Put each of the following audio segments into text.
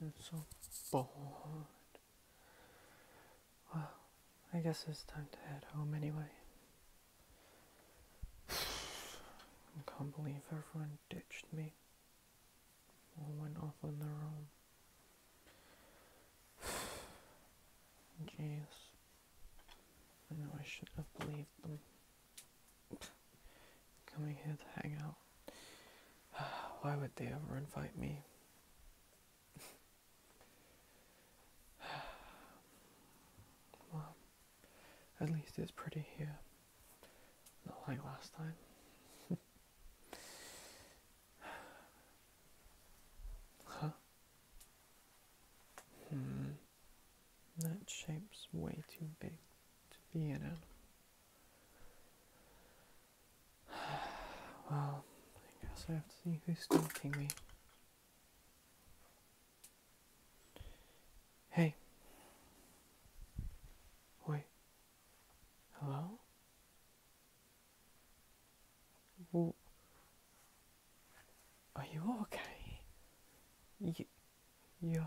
I'm so bored. Well, I guess it's time to head home anyway. I can't believe everyone ditched me or went off on their own. Jesus, I know I should have believed them coming here to hang out. Why would they ever invite me? well, at least it's pretty here. Not like last time. huh? Hmm. That shape's way too big to be in it. Well, I guess I have to see who's stalking me. Hey. Wait. Hello? Well, are you okay? You yeah.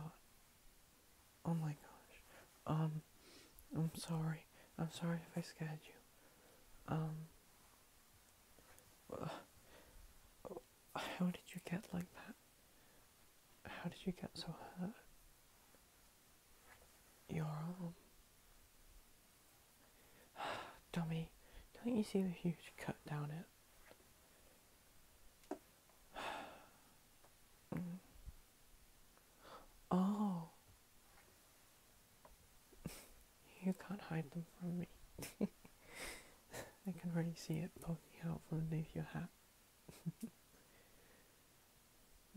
Oh my gosh. Um, I'm sorry. I'm sorry if I scared you. Um, uh, how did you get like that? How did you get so hurt? Your arm. Dummy, don't you see the huge cut down it? Oh. You can't hide them from me. I can already see it poking out from underneath your hat.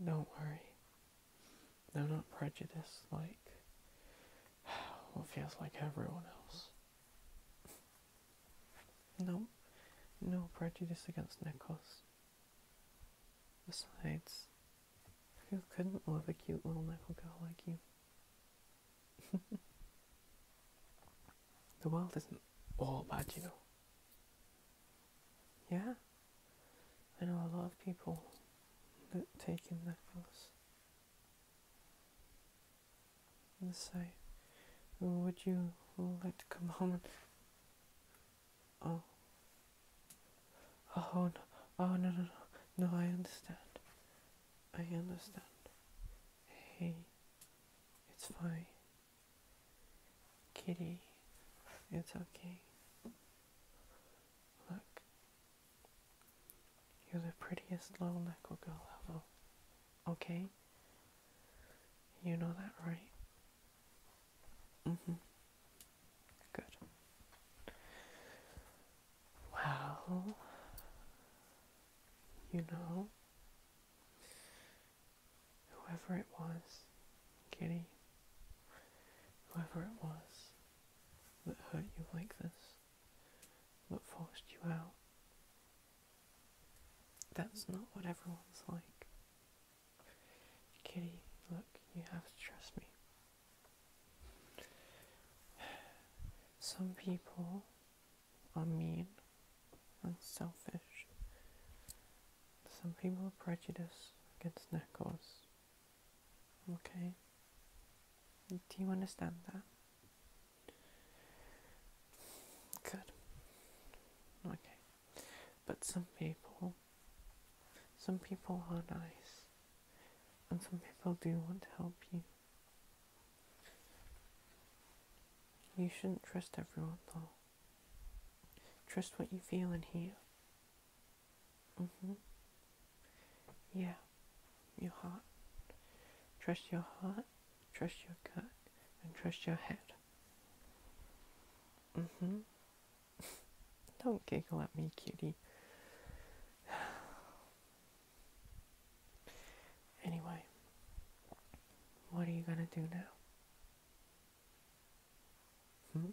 Don't worry. They're not prejudiced like well, feels like everyone else. No, no prejudice against Nicholas. Besides, who couldn't love a cute little nickel girl like you? the world isn't all bad, you know. Yeah, I know a lot of people that take in Nicholas. Say, would you like to come home? Oh. Oh no! Oh no! No! No! No! I understand. I understand. Hey, it's fine. Kitty, it's okay. Look, you're the prettiest little Neko girl ever. Okay? You know that, right? Mm hmm. Good. Well, you know, whoever it was, Kitty, whoever it was that hurt you like this, that forced you out, that's not what everyone's like. Kitty, look, you have to trust me. Some people are mean and selfish. Some people are prejudiced against knackers. Okay? Do you understand that? Good. Okay. But some people, some people are nice, and some people do want to help you. You shouldn't trust everyone though. Trust what you feel and hear. Mm-hmm. Yeah. Your heart. Trust your heart Trust your gut and trust your head. Mm hmm. Don't giggle at me, cutie. anyway, what are you gonna do now? Hmm?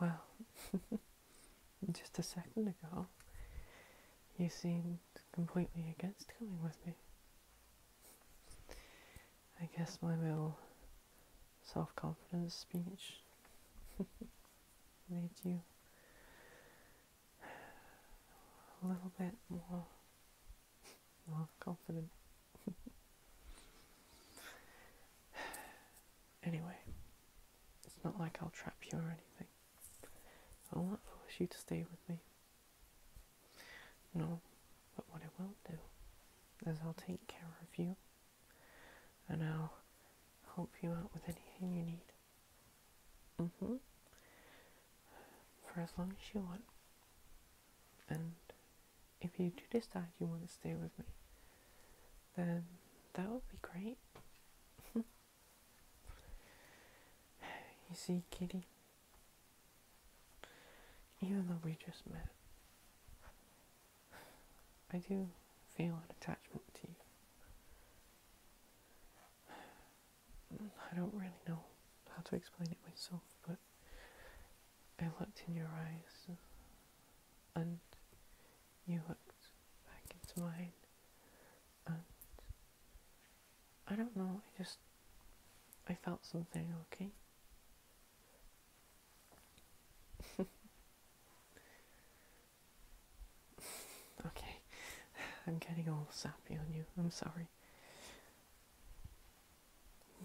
Well, just a second ago, you seemed completely against coming with me. I guess my little self confidence speech made you a little bit more more confident. anyway, it's not like I'll trap you or anything. I'll not you to stay with me. No, but what I will do is I'll take care of you and I'll help you out with anything you need. Mm-hmm. For as long as you want. And if you do decide you want to stay with me, then that would be great. You see, Kitty, even though we just met, I do feel an attachment to you. I don't really know how to explain it myself, but I looked in your eyes and you looked back into mine I don't know, I just, I felt something, okay? okay, I'm getting all sappy on you, I'm sorry.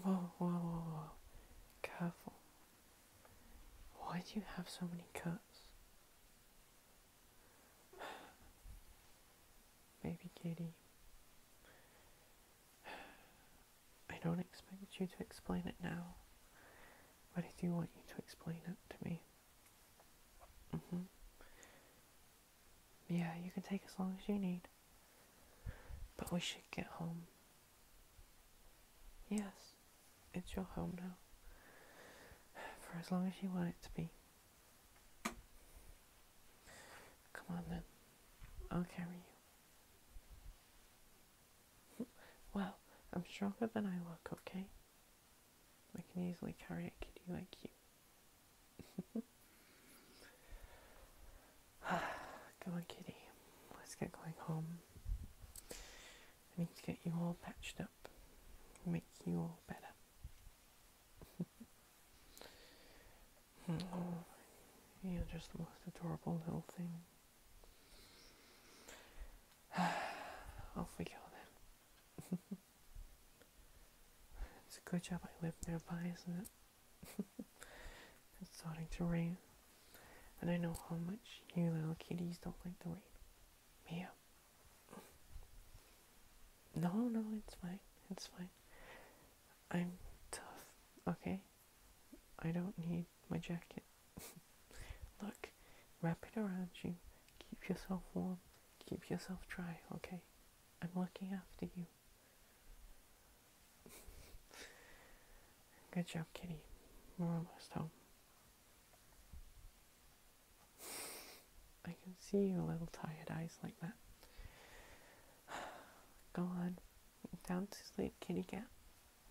Whoa, whoa, whoa, whoa, careful. Why do you have so many cuts? Baby kitty. I don't expect you to explain it now, but I do want you to explain it to me. Mm-hmm. Yeah, you can take as long as you need. But we should get home. Yes. It's your home now. For as long as you want it to be. Come on then. I'll carry you. well, I'm stronger than I look, okay? I can easily carry a kitty like you. Come on, kitty. Let's get going home. I need to get you all patched up, make you all better. Hmm. you're just the most adorable little thing. Off we go then. it's a good job I live nearby, isn't it? it's starting to rain. And I know how much you little kitties don't like the rain. Mia. No, no, it's fine. It's fine. I'm tough, okay? I don't need my jacket. Look, wrap it around you. Keep yourself warm. Keep yourself dry, okay? I'm looking after you. Good job, kitty. We're almost home. I can see your little tired eyes like that. Go on, down to sleep, kitty cat.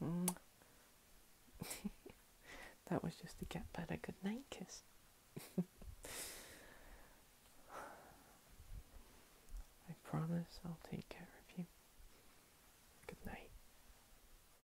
Mm. that was just to get better good night kiss. I promise I'll take care of you. Good night.